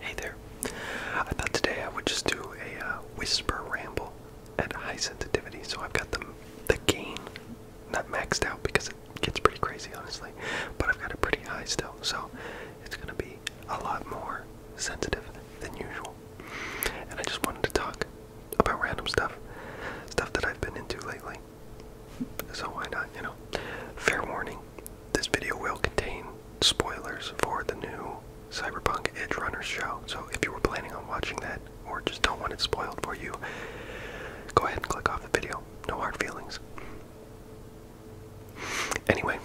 Hey there. I thought today I would just do a uh, whisper ramble at high sensitivity. So I've got the, the gain not maxed out because it gets pretty crazy, honestly, but I've got it pretty high still. So it's going to be a lot more sensitive than usual. And I just wanted to talk about random stuff, stuff that I've been into lately. So why not, you know? Fair warning, this video will contain spoilers for the new Cyberpunk Edge Runner show. So if you were planning on watching that or just don't want it spoiled for you, go ahead and click off the video. No hard feelings. Anyway,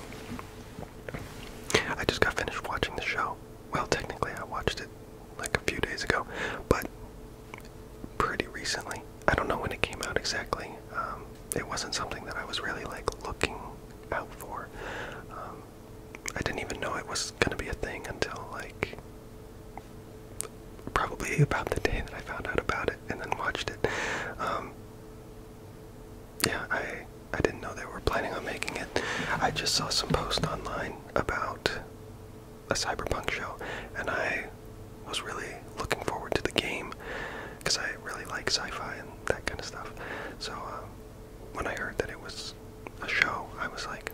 I just got finished watching the show. Well, technically, I watched it like a few days ago, but pretty recently. I don't know when it came out exactly. Um, it wasn't something that I was really like looking out for. Um, I didn't even know it was gonna be a thing until like probably about the day that I found out about it and then watched it. Um, yeah, I I didn't know they were planning on making it. I just saw some post online about a cyberpunk show, and I was really looking forward to the game because I really like sci-fi and that kind of stuff. So um, when I heard that it was a show, I was like,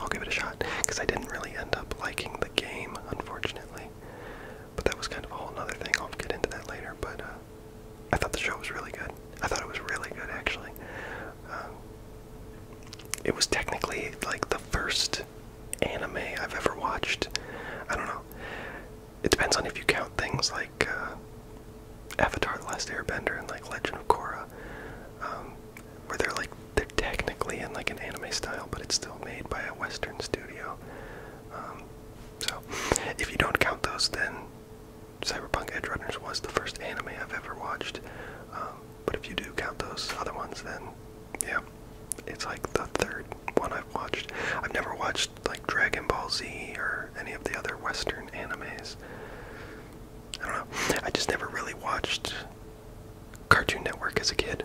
I'll give it a shot because I didn't really end up liking the game, unfortunately. But that was kind of a whole other thing. I'll get into that later. But uh, I thought the show was really good. I thought it was really good, actually. Um, it was technically like the first anime I've ever watched. I don't know. It depends on if you count things like uh, Avatar: The Last Airbender and like Legend of Korra, um, where they're like they're technically in like an anime style, but it's still made by a Western studio. Um, so, if you don't count those, then Cyberpunk Edge Runners was the first anime I've ever watched. Um, but if you do count those other ones, then yeah, it's like the third one I've watched. I've never watched like Dragon Ball Z or any of the other Western animes. I don't know. I just never really watched Cartoon Network as a kid.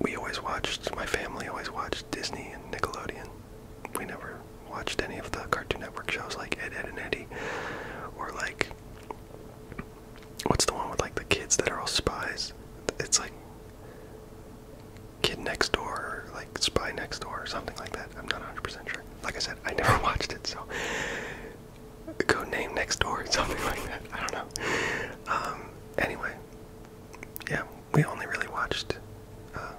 We always watched, my family always watched Disney and Nickelodeon. We never watched any of the Cartoon Network shows like Ed, Ed, and Eddie. Or like, what's the one with like the kids that are all spies? It's like Kid Next Door or like Spy Next Door or something like that. I'm not 100% sure. Like I said, I never watched it, so go name Next Door or something like that. I don't know. Um, anyway, yeah, we only really watched uh,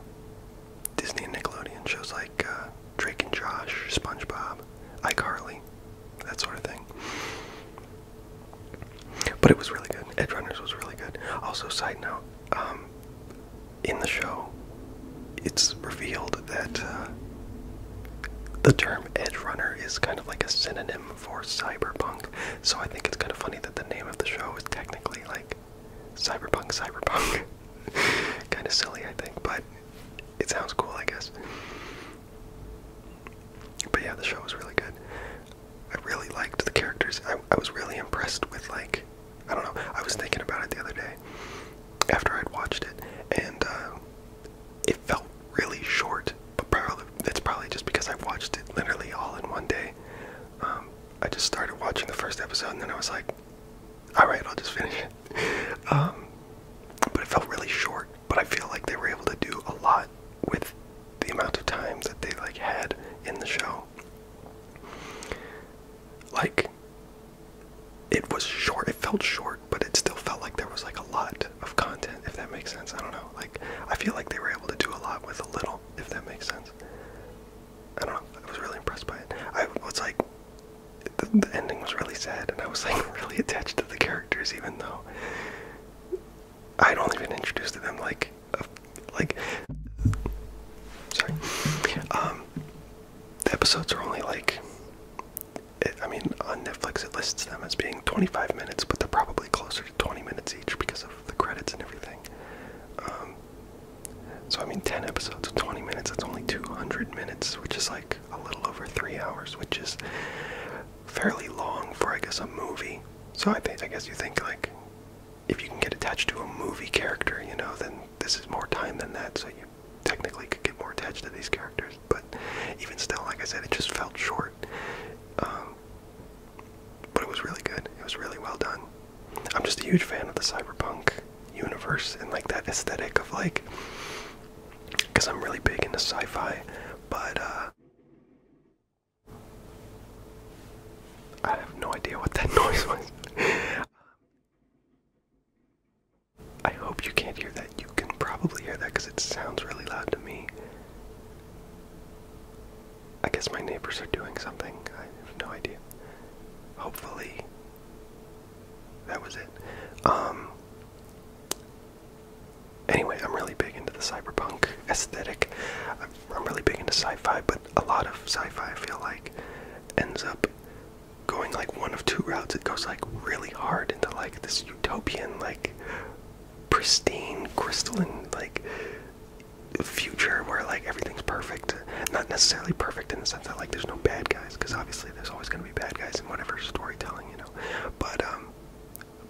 Disney and Nickelodeon shows like uh, Drake and Josh, SpongeBob, iCarly, that sort of thing. But it was really good. Edge Runners was really good. Also, side note, um, in the show, it's revealed that uh, the term Edge Runner is kind of like a synonym for cyberpunk. So I think it's kind of funny that the name of the show is technically like cyberpunk, cyberpunk. kind of silly, I think, but it sounds cool, I guess. But yeah, the show was really good. I really liked the characters. I, was really impressed with like I don't know. I was thinking about it the other day after I'd watched it, and uh, it felt really short. But probably that's probably just because I watched it literally all in one day. Um, I just started watching the first episode, and then I was like, "All right, I'll just finish it." Um, but it felt really short. But I feel like they were able to do a lot with the amount of time that they like had in the show. Like it was short. It felt short, but it still felt like there was like a lot of content, if that makes sense. I don't know. Like I feel like they were able to do a lot with a little, if that makes sense. I don't know. I was really impressed by it. I was like the, ending was really sad and I was like really attached to the characters even though I'd only been introduced to them like, like, sorry. Um, the episodes are only like, I mean, on Netflix it lists them as being 25 minutes, but they're probably closer to 20 minutes each because of the credits and everything. Um, so I mean, 10 episodes of 20 minutes, that's only 200 minutes, which is like a little over three hours, which is fairly long for I guess a movie. So I think I guess you think like if you can get attached to a movie character, you know, then this is more time than that. So you technically could get more attached to these characters. But even still, like I said, it just felt short. Um, but it was really good. It was really well done. I'm just a huge fan of the cyberpunk universe and like that aesthetic of like, because I'm really big into sci-fi, but uh, I have no idea what that noise was. I hope you can't hear that. You can probably hear that because it sounds really loud to me. I guess my neighbors are doing something. I have no idea. Hopefully, that was it. Um, Anyway, I'm really big into the cyberpunk aesthetic. am really big into sci-fi, but a lot of sci-fi I feel like ends up going like one of two routes. It goes like really hard into like this utopian, like pristine, crystalline, like future where like everything's perfect. Not necessarily perfect in the sense that like there's no bad guys, because obviously there's always gonna be bad guys in whatever storytelling, you know. But um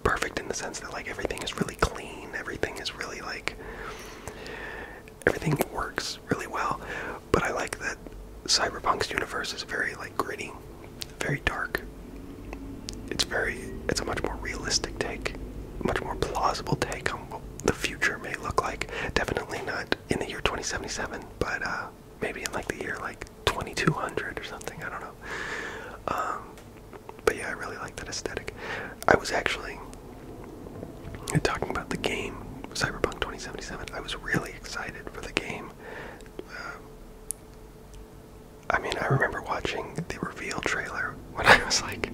perfect in the sense that like everything is really clean, everything is really like everything works really well. But I like that Cyberpunk's universe is very like gritty, very dark. It's very it's a much more realistic take, much more plausible take on what the future may look like. Definitely not in the year 2077, but uh, maybe in like the year like 2200 or something. I don't know. Um, but yeah, I really like that aesthetic. I was actually talking about the game Cyberpunk 2077. I was really excited for the game. Uh, I mean, I remember watching the reveal trailer when I was like,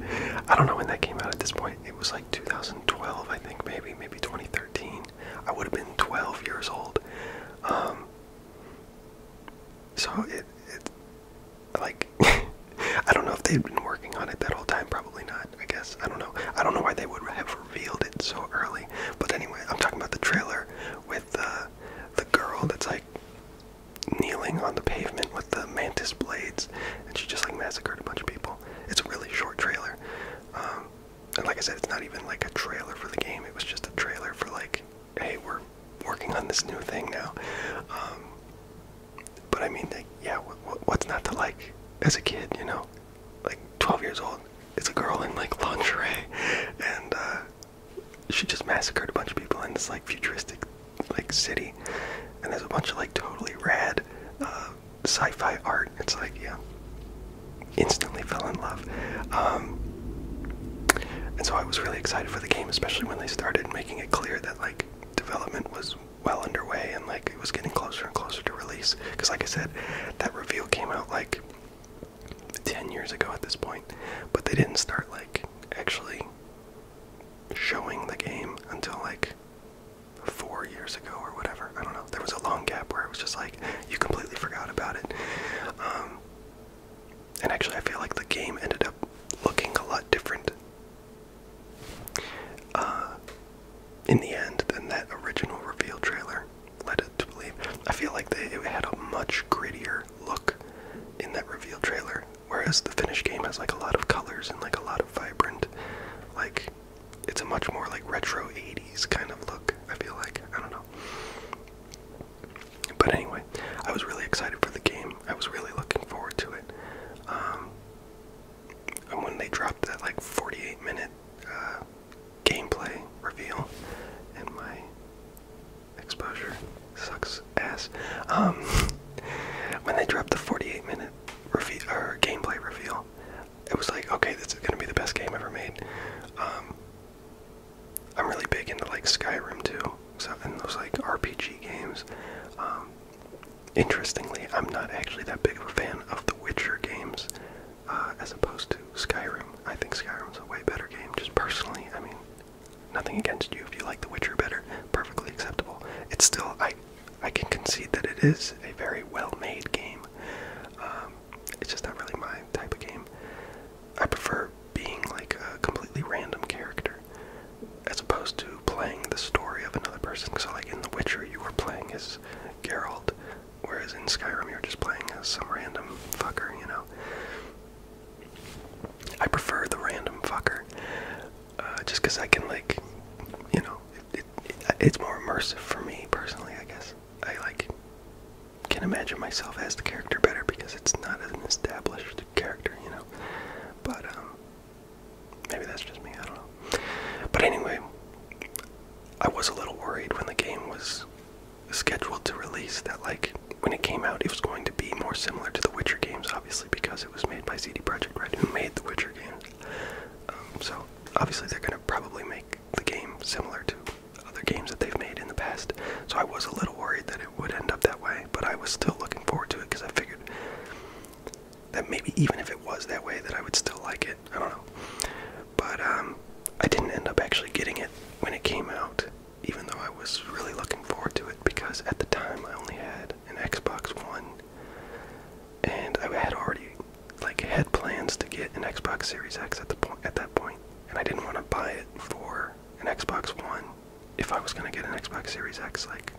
I don't know when that came out at this point. It was like 2012, I think, maybe, maybe 2013. I would have been 12 years old. Um, so it, it like I don't know if they have been working on it that whole time. Probably not. I guess I don't know. I don't know why they would have revealed it so early. But anyway, I'm talking about the trailer with the uh, the girl that's like kneeling on the pavement with the mantis blades, and she just like massacred a bunch of people. It's a really short trailer. Um, and like I said, it's not even like a trailer for the game. It was just a trailer for like hey, we're working on this new thing now. Um, but I mean, like, yeah, what's not to like as a kid, you know? Like, 12 years old, it's a girl in like lingerie, and uh, she just massacred a bunch of people in this like futuristic like city, and there's a bunch of like totally rad uh, sci-fi art. It's like, yeah, instantly fell in love. Um, and so I was really excited for the game, especially when they started making it clear that like development was well underway and like it was getting closer and closer to release. Because like I said, that reveal came out like ten years ago at this point, but they didn't start like actually showing the game until like four years ago or whatever. I don't know. There was a long gap where it was just like you completely forgot about it. Um, and actually, I feel like the game ended up looking a lot different uh, in the end than that original reveal trailer led it to believe. I feel like they, had a much grittier look in that reveal trailer, whereas the finished game has like a lot of colors and like a lot of vibrant, like it's a much more like retro 80s kind of look. I feel like I don't know. But anyway, I was really excited for the game. I was really looking forward to it. Um, and when they dropped that like 48 minute uh, gameplay reveal, and my exposure sucks ass. Um, when they dropped the 48 minute reveal or gameplay reveal, it was like, okay, this is gonna be the best game ever made. Um, I'm really big into like Skyrim too, so in those like RPG games. Um, interestingly, I'm not actually that big of a fan of the Witcher games, uh, as opposed to Skyrim. I think Skyrim's a way better game, just personally. I mean, nothing against you if you like the Witcher better, perfectly acceptable. It's still I, I can concede that it is a very well-made game. Um, it's just not really my type of game. I prefer being like a completely random character as opposed to playing the story of another person. So like in The Witcher you were playing as Geralt, whereas in Skyrim you're just playing as some random fucker, you know. I prefer the random fucker. Uh, just because I can like, you know, it's more immersive for me personally, I guess. I like can imagine myself as the character better because it's not an established character, you know. But um, maybe that's just me. I don't know. But anyway, I was a little worried when the game was scheduled to release that, like, when it came out, it was going to be more similar to the Witcher games, obviously, because it was made by CD Projekt Red, who made the Witcher games. Um, so obviously, they're going to probably make the game similar to other games that they've made in the past. So I was a little worried that it would end up that way, but I was still looking forward to it because I figured that maybe even if it was that way, that I would still like it. I don't know. But um, I didn't end up actually getting it when it came out, even though I was really looking forward to it because at the time I only had an Xbox One, and I had already like had plans to get an Xbox Series X at the point at that point, and I didn't want to buy it for an Xbox One if I was going to get an Xbox Series X, like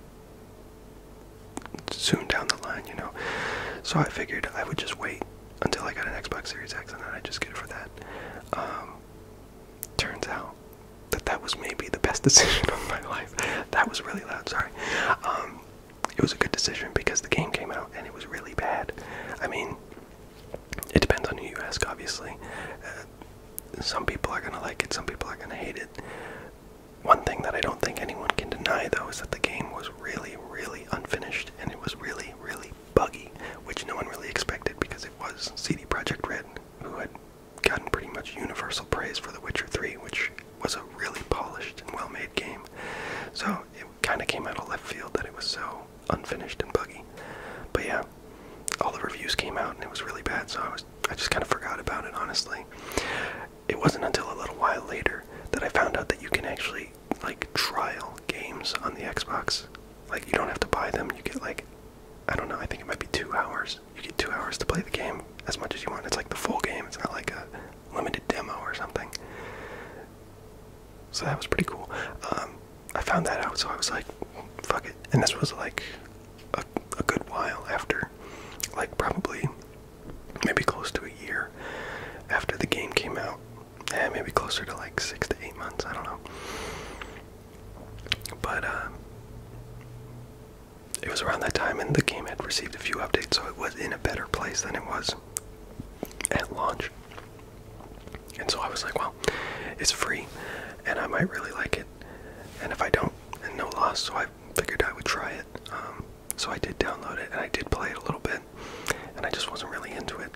soon down the line, you know. So I figured I would just wait until I got an Xbox Series X and then I'd just get it for that. Um, turns out that that was maybe the best decision of my life. That was really loud, sorry. Um, it was a good decision because the game came out and it was really bad. I mean, it depends on who you ask, obviously. Uh, some people are gonna like it, some people are gonna hate it. One thing that I don't think anyone can deny, though, is that the game was really, really unfinished and it was really, really buggy, which no one really expected because it was CD Projekt Red, who had gotten pretty much universal praise for The Witcher 3, which was a really polished and well made game. So it kind of came out of left field that it was so unfinished and buggy. But yeah, all the reviews came out and it was really bad, so I was I just kind of forgot about it honestly. It wasn't until a little while later that I found out that you can actually like trial games on the Xbox. Like you don't have to buy them. You get like I don't know. I think it might be two hours. You get two hours to play the game as much as you want. It's like the full game. It's not like a limited demo or something. So that was pretty cool. Um, I found that out, so I was like, fuck it. And this was like a, good while after, like probably maybe close to a year after the game came out. Yeah, maybe closer to like six to eight months, I don't know. But um, it was around that time, and the game had received a few updates, so it was in a better place than it was at launch. And so I was like, well, it's free and I might really like it. And if I don't, and no loss, so I figured I would try it. Um, so I did download it and I did play it a little bit, and I just wasn't really into it.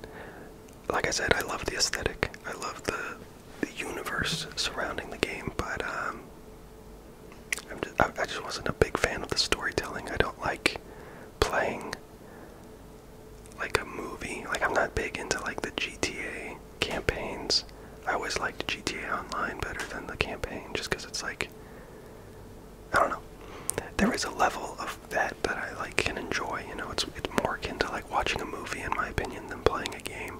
Like I said, I love the aesthetic, I love the the universe surrounding the game, but um, I just wasn't a big fan of the storytelling. I don't like playing like a movie. Like I'm not big into like the GTA campaigns. I always liked GTA Online better than the campaign just because it's like I don't know. There is a level of that that I like can enjoy, you know, it's it's more akin to like watching a movie in my opinion than playing a game.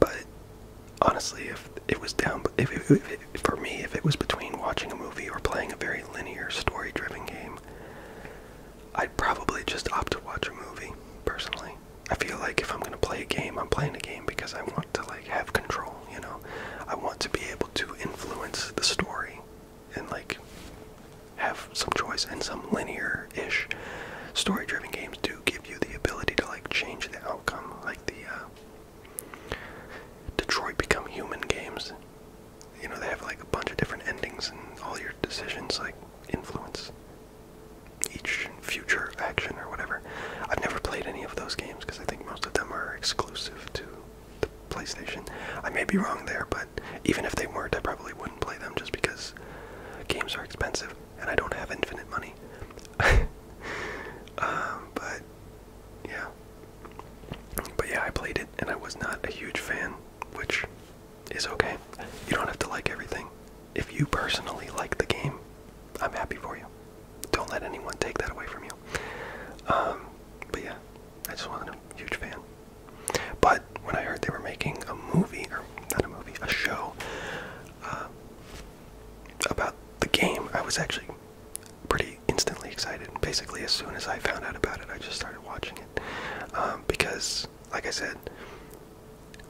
But honestly, if it was down if, for me if it was between watching a movie or playing a very linear story-driven game, I'd probably just opt to watch a movie, personally. I feel like if I'm going to play a game, I'm playing a game because I want to like have control, you know. I want to be able to influence the story and like have some choice and some linear-ish story-driven games do give you the ability to like change the outcome like the uh Detroit Become Human games you know, they have like a bunch of different endings, and all your decisions like influence each future action or whatever. I've never played any of those games because I think most of them are exclusive to the PlayStation. I may be wrong there, but even if they weren't, I probably wouldn't play them just because games are expensive and I don't have infinite money. Um, but yeah, but yeah, I played it and I was not a huge fan which is okay. You don't have to like everything. If you personally like the game, I'm happy for you. Don't let anyone take that away from you. Um, but yeah, I just was a huge fan. But when I heard they were making a movie, or not a movie, a show uh, about the game, I was actually pretty instantly excited. Basically, as soon as I found out about it, I just started watching it um, because, like I said,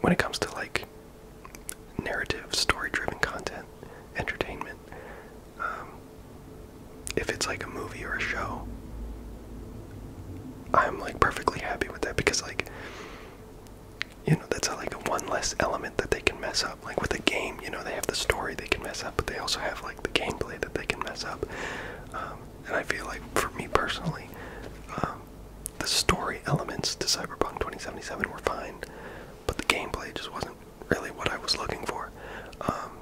when it comes to like narrative, story-driven content, entertainment, um, if it's like a movie or a show, I'm like perfectly happy with that because like you know that's like a one less element that they can mess up like with a game you know they have the story they can mess up but they also have like the gameplay that they can mess up um, and I feel like, for me personally, um, the story elements to Cyberpunk 2077 were fine, but the gameplay just wasn't really what I was looking for. Um,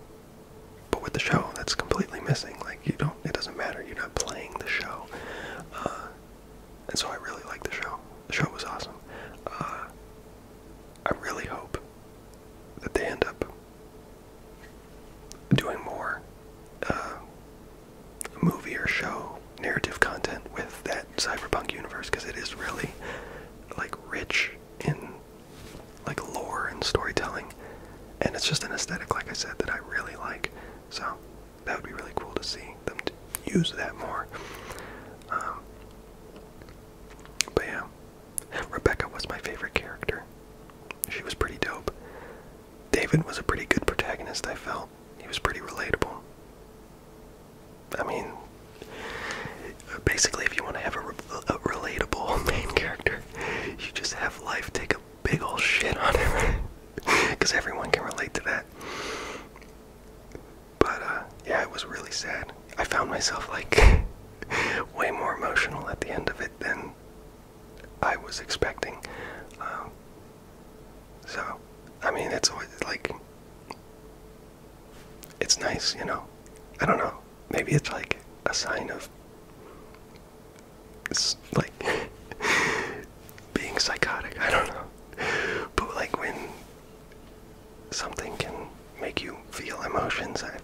but with the show, that's completely missing. Like you don't, it doesn't matter. You're not playing the show, uh, and so I really liked the show. The show was awesome. Uh, I really hope that they end up doing more uh, movie or show narrative content with that cyberpunk universe because it is really like rich in like lore and storytelling and it's just an aesthetic like i said that i really like so that would be really cool to see them use that more um, but yeah Rebecca was my favorite character. She was pretty dope. David was a pretty good protagonist, I felt. He was pretty relatable. I mean, basically, if you want to have a, relatable main character, you just have life take a big old shit on him. Because everyone can relate to that. But, uh, yeah, it was really sad. I found myself like way more emotional at the end of it than I was expecting. Um, so, I mean, it's always, like, it's nice, you know. I don't know. Maybe it's like a sign of like being psychotic. I don't know. But like when something can make you feel emotions, I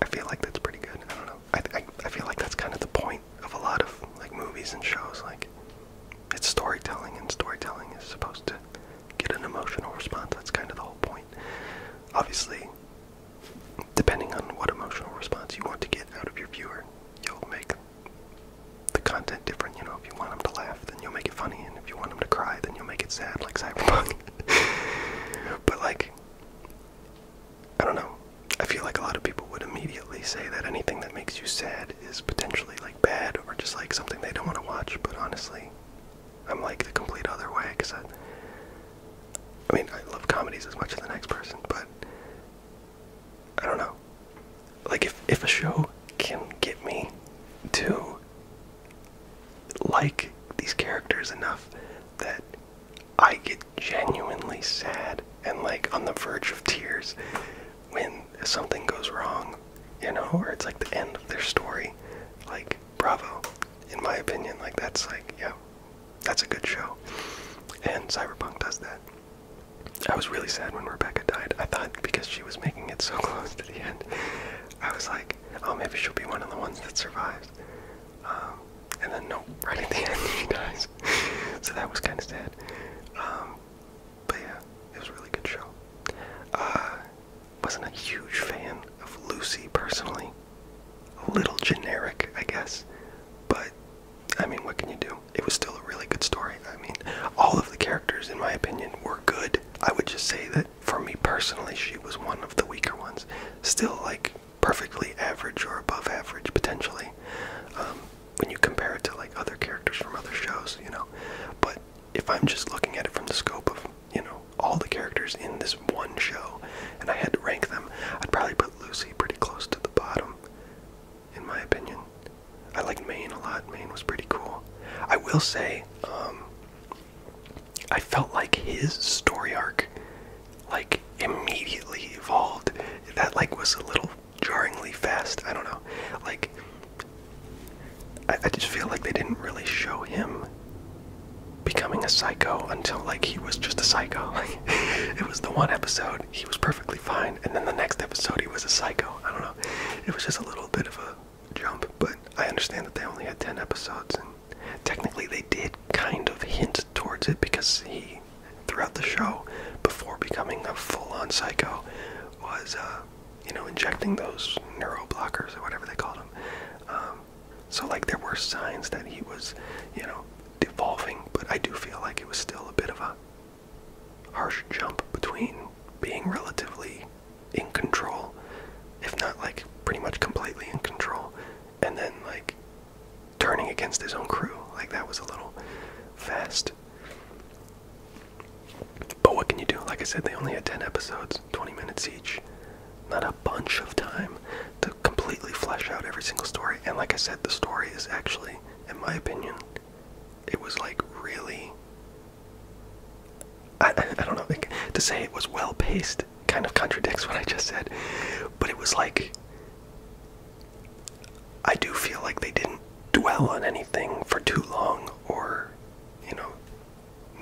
I feel like that's pretty good. I don't know. I, I feel like that's kind of the point of a lot of like movies and shows. Like it's storytelling, and storytelling is supposed to get an emotional response. That's kind of the whole point. Obviously, depending on what emotional response you want to get out of your viewer, you'll make the content different. You know, if you want them to laugh, then you'll make it funny, and if you want them to cry, then you'll make it sad, like Cyberpunk. but like I don't know. I feel like a lot of people would immediately say that anything that makes you sad is potentially like bad or just like something they don't want to watch, but honestly, I'm like the complete other way because I. I mean, I love comedies as much as the next person, but I don't know. Like, if, if a show can get me to like these characters enough that I get genuinely sad and like on the verge of tears when something goes wrong, you know, or it's like the end of their story. Like, bravo, in my opinion. Like, that's like, yeah, that's a good show. And Cyberpunk does that. I was really sad when Rebecca died. I thought because she was making it so close to the end, I was like, oh, maybe she'll be one of the ones that survives. Um, and then no, right at the end he dies. so that was kind of sad. Um, but yeah, it was a really good show. Uh, wasn't a huge fan of Lucy personally. A little generic, I guess. But I mean, what can you do? It was still a really good story. I mean, all of the characters, in my opinion, were good. I would just say that for me personally, she was one of the weaker ones. Still, like, perfectly average or above average, potentially, um, when you compare it to, like, other characters from other shows, you know. But if I'm just looking at it from the scope of, you know, all the characters in this one show, and I had to rank them, I'd probably put Lucy pretty close to the bottom, in my opinion. I like Maine a lot. Maine was pretty cool. I will say, um, I felt like his story arc like immediately evolved. That like was a little jarringly fast. I don't know. Like I, just feel like they didn't really show him becoming a psycho until like he was just a psycho. it was the one episode he was perfectly fine and then the next episode he was a psycho. I don't know. It was just a little bit of a jump, but I understand that they only had 10 episodes and Technically, they did kind of hint towards it because he, throughout the show, before becoming a full-on psycho, was, uh, you know, injecting those neuroblockers or whatever they called them. Um, so, like, there were signs that he was, you know, devolving, but I do feel like it was still a bit of a harsh jump between being relatively in control, if not like pretty much completely in control, and then like turning against his own crew. Like that was a little fast. But what can you do? Like I said, they only had 10 episodes, 20 minutes each. Not a bunch of time to completely flesh out every single story. And like I said, the story is actually, in my opinion, it was like really. I, don't know. Like, to say it was well paced kind of contradicts what I just said, but it was like I do feel like they didn't dwell on anything for too long or, you know,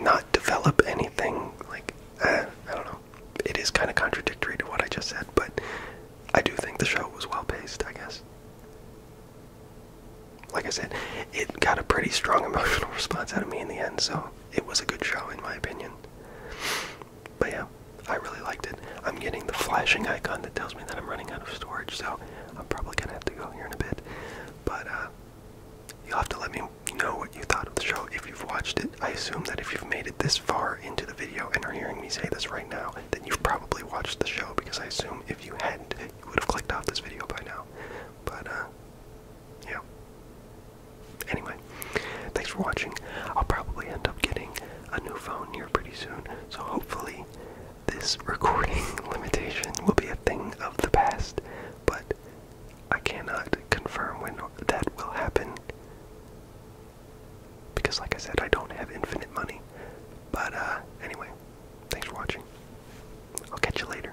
not develop anything. Like, eh, I don't know. It is kind of contradictory to what I just said, but I do think the show was well paced, I guess. Like I said, it got a pretty strong emotional response out of me in the end, so it was a good show in my opinion. But yeah, I really liked it. I'm getting the flashing icon that tells me that I'm running out of storage, so I'm probably gonna have to go here in a bit. But uh, you'll have to let me know what you thought of the show if you've watched it. I assume that if you've made it this far into the video and are hearing me say this right now, then you've probably watched the show because I assume if you hadn't, you would have clicked off this video by now. But uh, yeah, Anyway, thanks for watching. I'll probably end up getting a new phone here pretty soon, so hopefully this recording limitation will be a thing of the past, but I cannot confirm when that will happen. Because, like I said, I don't have infinite money. But, uh, anyway, thanks for watching. I'll catch you later.